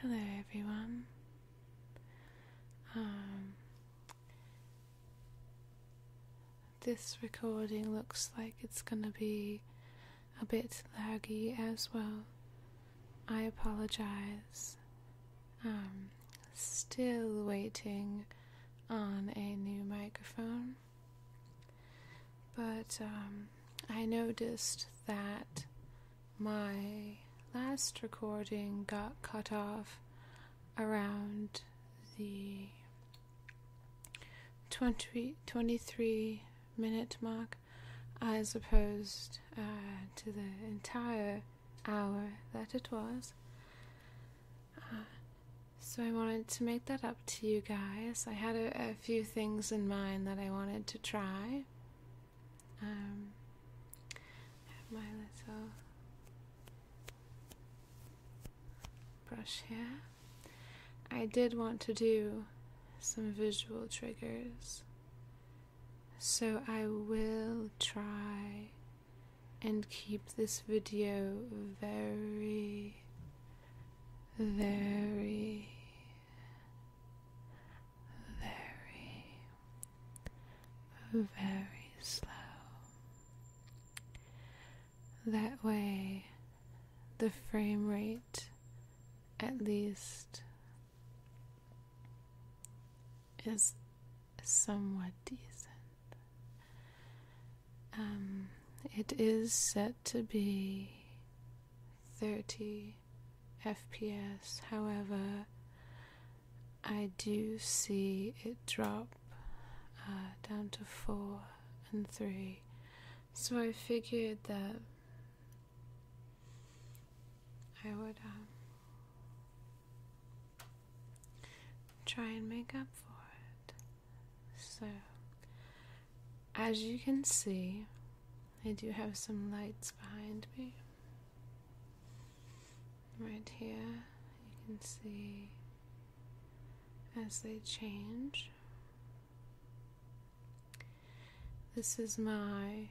Hello, everyone. Um, this recording looks like it's going to be a bit laggy as well. I apologize. Um, still waiting on a new microphone. But um, I noticed that my last recording got cut off around the twenty twenty-three minute mark as opposed uh, to the entire hour that it was. Uh, so I wanted to make that up to you guys. I had a, few things in mind that I wanted to try. Um, my little brush here. I did want to do some visual triggers. So I will try and keep this video very very, very, very slow. That way, the frame rate at least is somewhat decent. Um, it is set to be 30 FPS. However, I do see it drop uh, down to 4 and 3. So I figured that I would um, try and make up for it. So as you can see, I do have some lights behind me. Right here, you can see as they change. This is my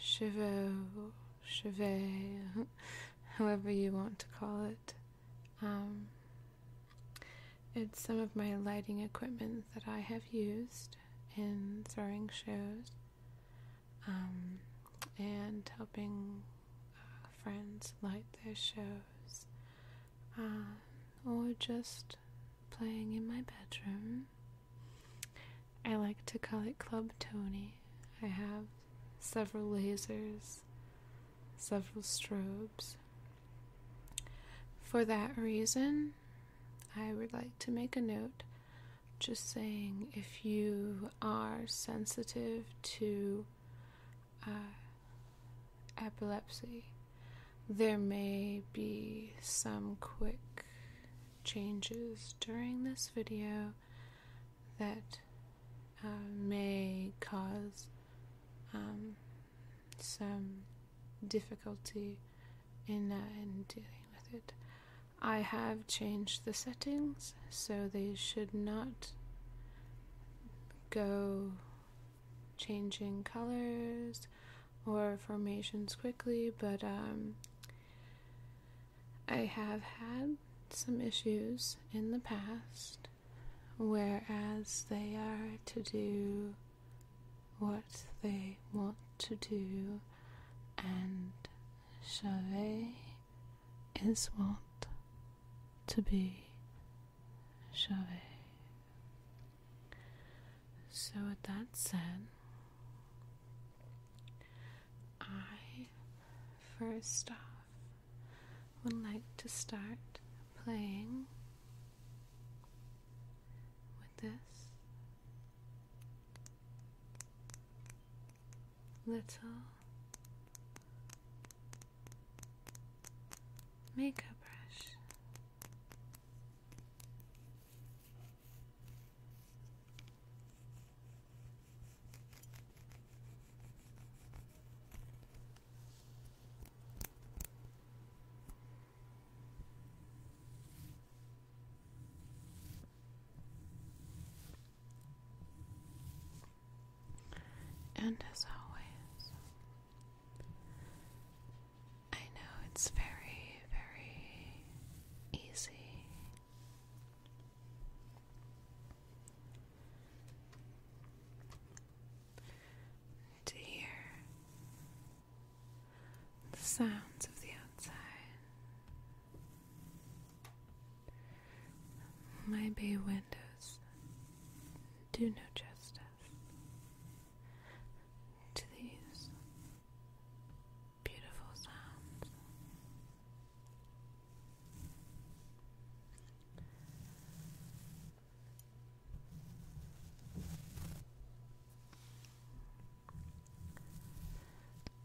chevaux, chevet, however you want to call it. Um, it's some of my lighting equipment that I have used in throwing shows um, and helping uh, friends light their shows uh, or just playing in my bedroom. I like to call it Club Tony. I have several lasers, several strobes, for that reason, I would like to make a note just saying if you are sensitive to uh, epilepsy, there may be some quick changes during this video that uh, may cause um, some difficulty in, uh, in dealing with it. I have changed the settings so they should not go changing colors or formations quickly, but um, I have had some issues in the past, whereas they are to do what they want to do, and Chauvet is what to be Chauvet. So, with that said, I first off would like to start playing with this little makeup brush. And as always, I know it's very, very easy to hear the sounds of the outside. My bay windows do no justice to these beautiful sounds.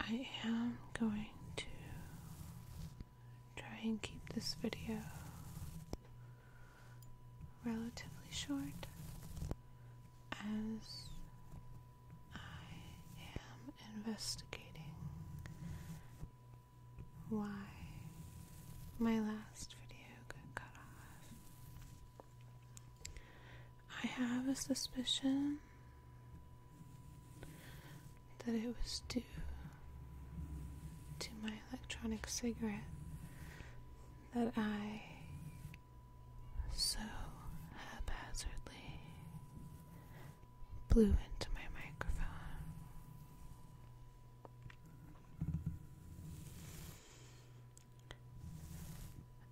I am going to try and keep this video relatively short as I am investigating why my last video got cut off. I have a suspicion that it was due to my electronic cigarette that I so haphazardly blew into my microphone.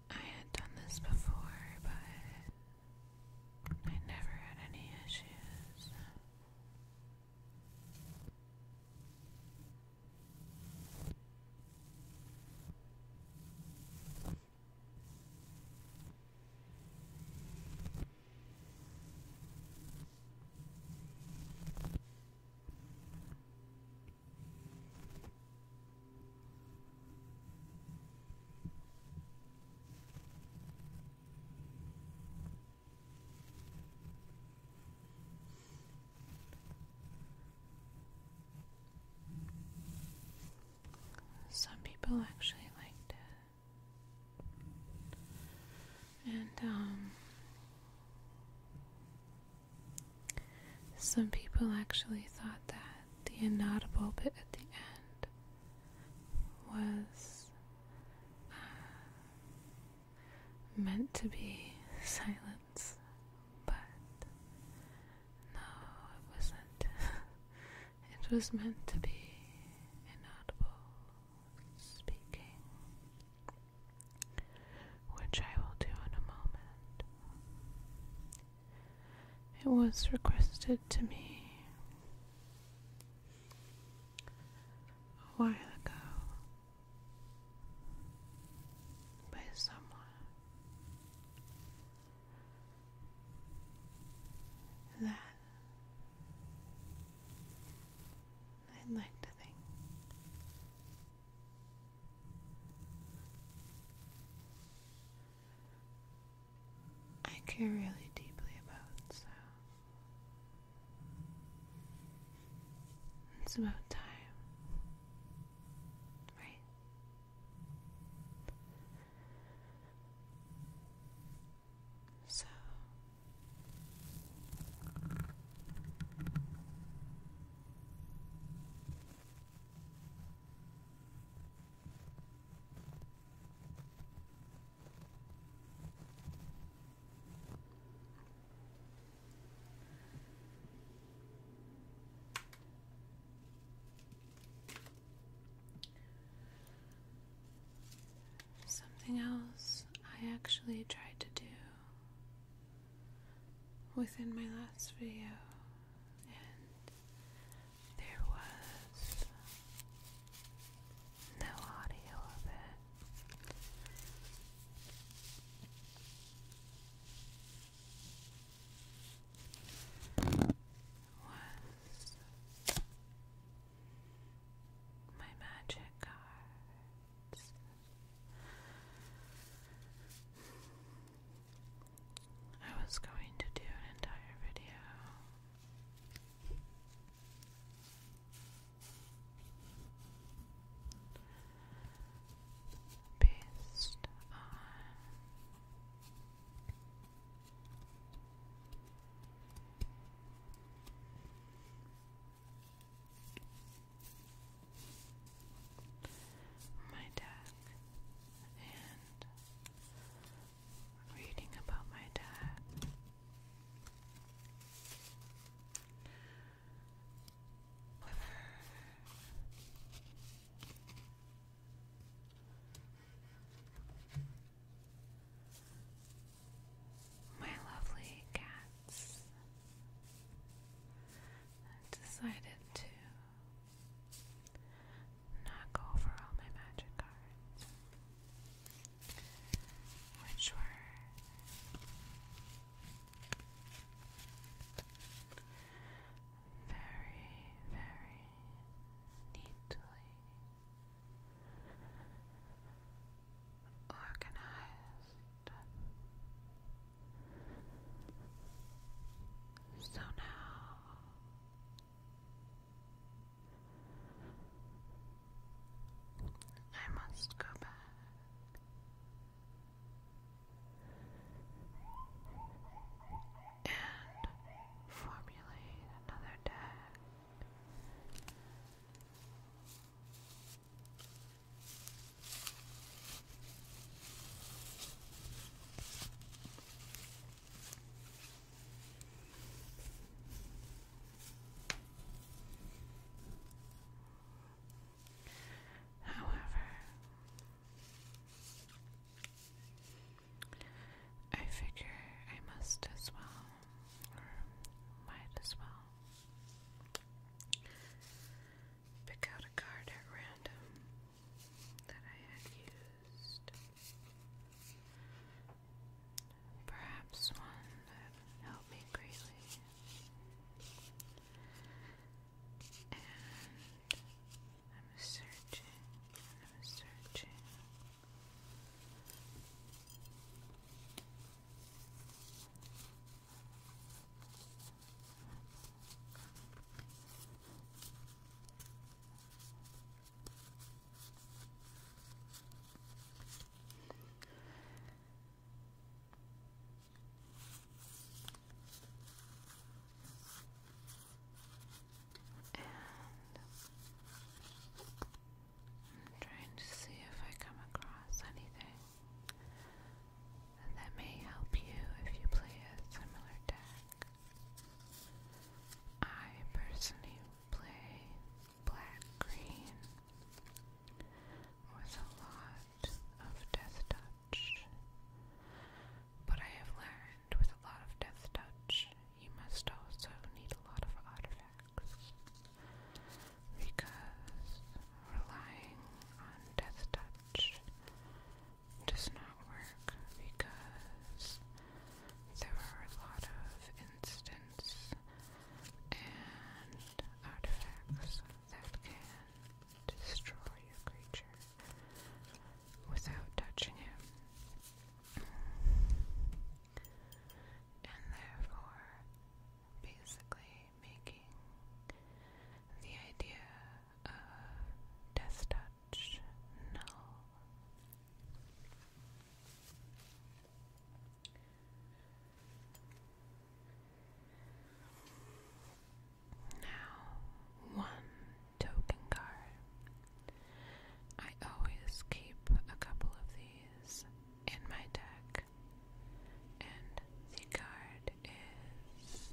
I had done this before, but I never had any issues. Some people actually like it. And, um, some people actually thought that the inaudible bit at the end was uh, meant to be silence, but no, it wasn't. it was meant to be inaudible speaking which I will do in a moment. It was requested to me a while ago by someone. That I'd like to think I care really deeply about, so it's about time, right? So Something else I actually tried to do within my last video, and there was no audio of it. Was my magic car? I was going to do an entire video. Based on my dad and reading about my dad. My lovely cats i decided to knock over all my magic cards, which were very, very neatly organized so now I must go back. And formulate another deck However, I figure I must as well, or might as well, pick out a card at random that I had used. Perhaps one that helped me greatly. And I'm searching I'm searching. And I'm trying to see if I come across anything. That may help you if you play a similar deck. I personally play black green with a lot of death touch. But I have learned with a lot of death touch, you must also need a lot of artifacts because relying on Death Touch does not work because there are a lot of instants and artifacts that can destroy a creature without touching it. And therefore, basically making the idea of death touch null. Now, one token card. I always keep a couple of these in my deck and the card is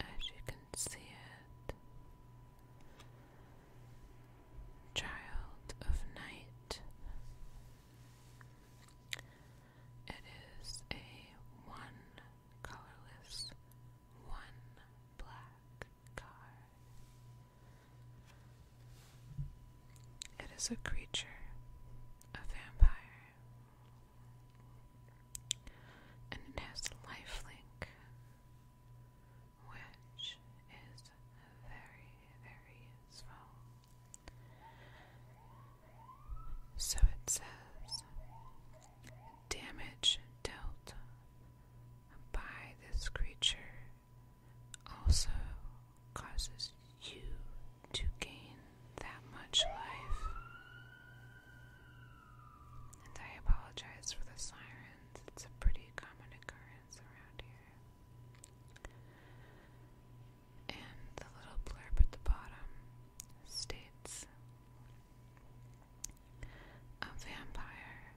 as you can see it Child of Night. It is a one colorless, one black it is a creature, a vampire, and it has life link, which is very, very useful. So it says damage dealt by this creature also causes you to gain that much life. And I apologize for the sirens, it's a pretty common occurrence around here. And the little blurb at the bottom states a vampire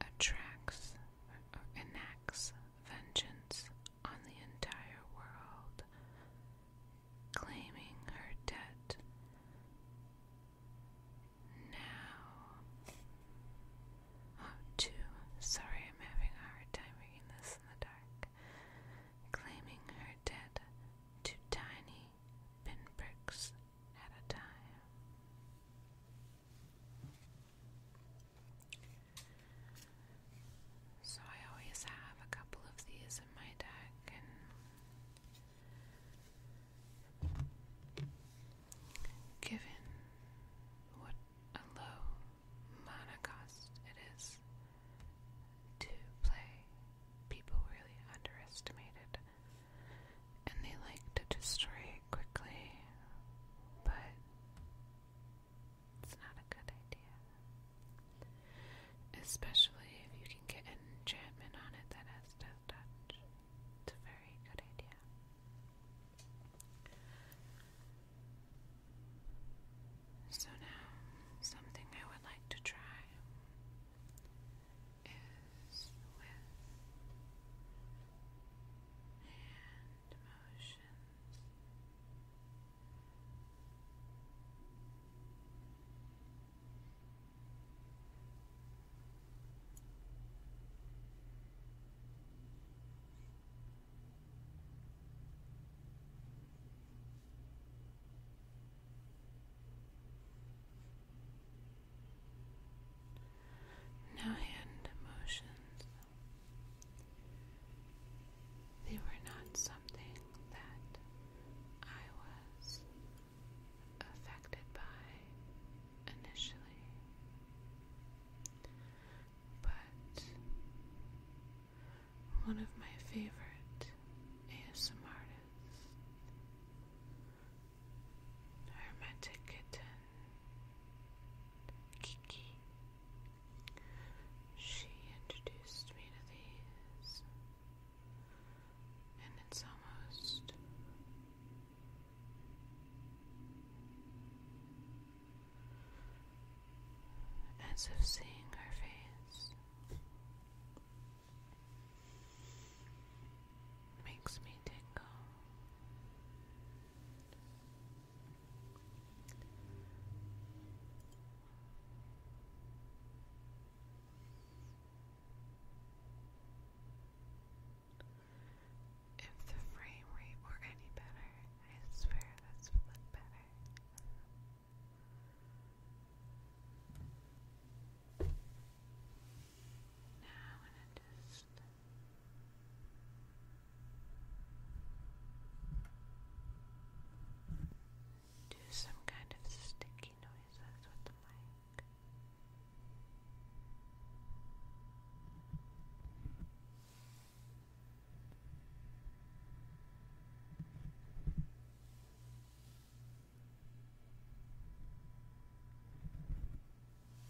attracts or enacts vengeance on the entire world, claiming her debt. Now, oh, two. Sorry, I'm having a hard time reading this in the dark. Claiming her debt to tiny pinpricks at a time. So, I always have a couple of these in my deck, and given what a low mana cost it is to play, people really underestimated and they like to destroy it quickly, but it's not a good idea. Especially if you can get an enchantment on it that has death touch. It's a very good idea. So now, something I would like to try is with and motions. Now hand motions, they were not something that I was affected by initially, but one of my favorite ASMR artists Hermetic Kitten Kiki. She introduced me to these, and it's almost as if seeing her face makes me tingle. If the frame rate were any better, I swear this look better. Now I want to just do some kind of sticky noises with the mic.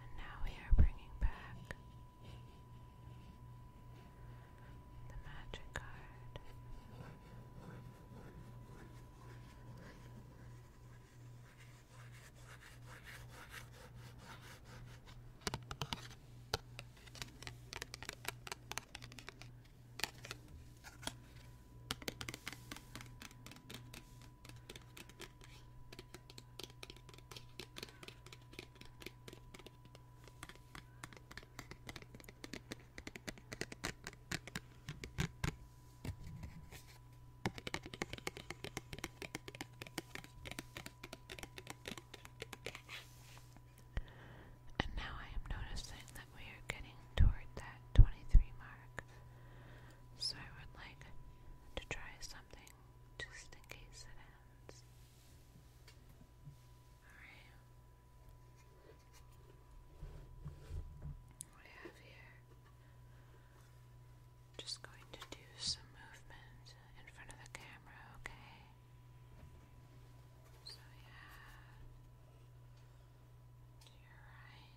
And now we are bringing back the magic card. And now I am noticing that we are getting toward that 23 mark. So I would like to try something just in case it ends. Alright. What I have here. Just going to do some movement in front of the camera, okay? So yeah. To your right.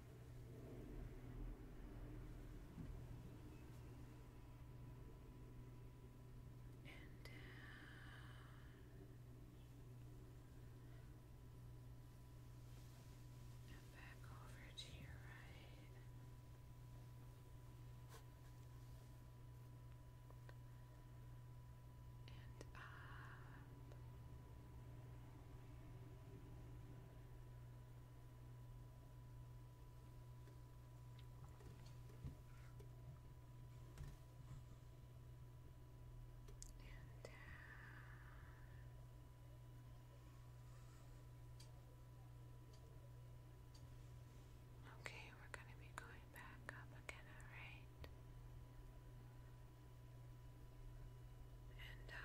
And down. And back over to your right. And up. And, uh, Okay, we're going to be going back up again, alright? And uh,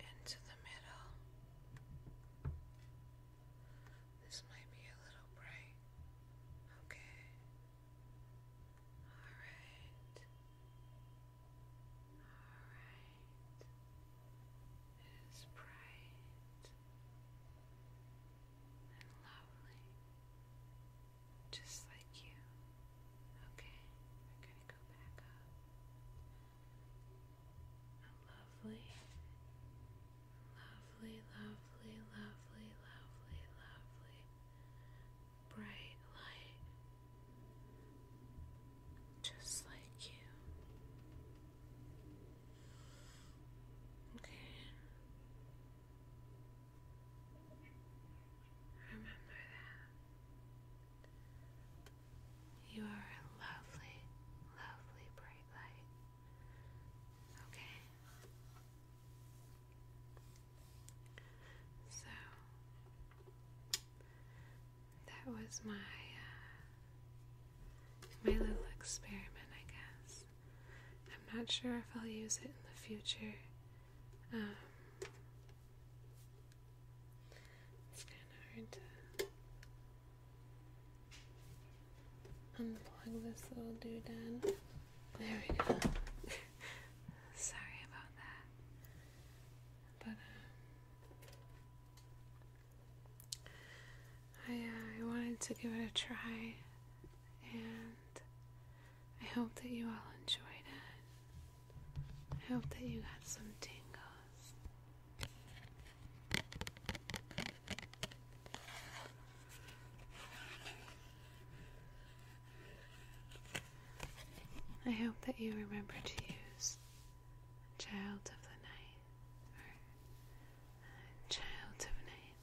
into the middle. This might be a little bright. Okay. All right. All right. It is bright lovely, just like you. Okay, we're gonna go back up. Lovely, lovely, lovely, lovely, lovely, lovely, bright light, just like you. Okay. Remember that. You are a lovely, lovely bright light. Okay? So, that was my, uh, my little experiment, I guess. I'm not sure if I'll use it in the future. Um, it's kind of hard to unplug this little doodad. There we go. Sorry about that. But, um, I, uh, I wanted to give it a try, and I hope that you all enjoyed it. I hope that you got some tingles. I hope that you remember to use Child of the Night or uh, Child of Night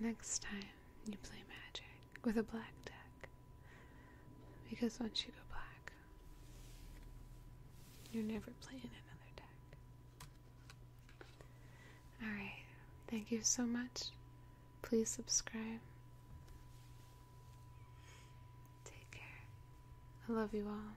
next time you play magic with a black deck. Because once you go black, you're never playing another deck. Alright, thank you so much. Please subscribe. Take care. I love you all.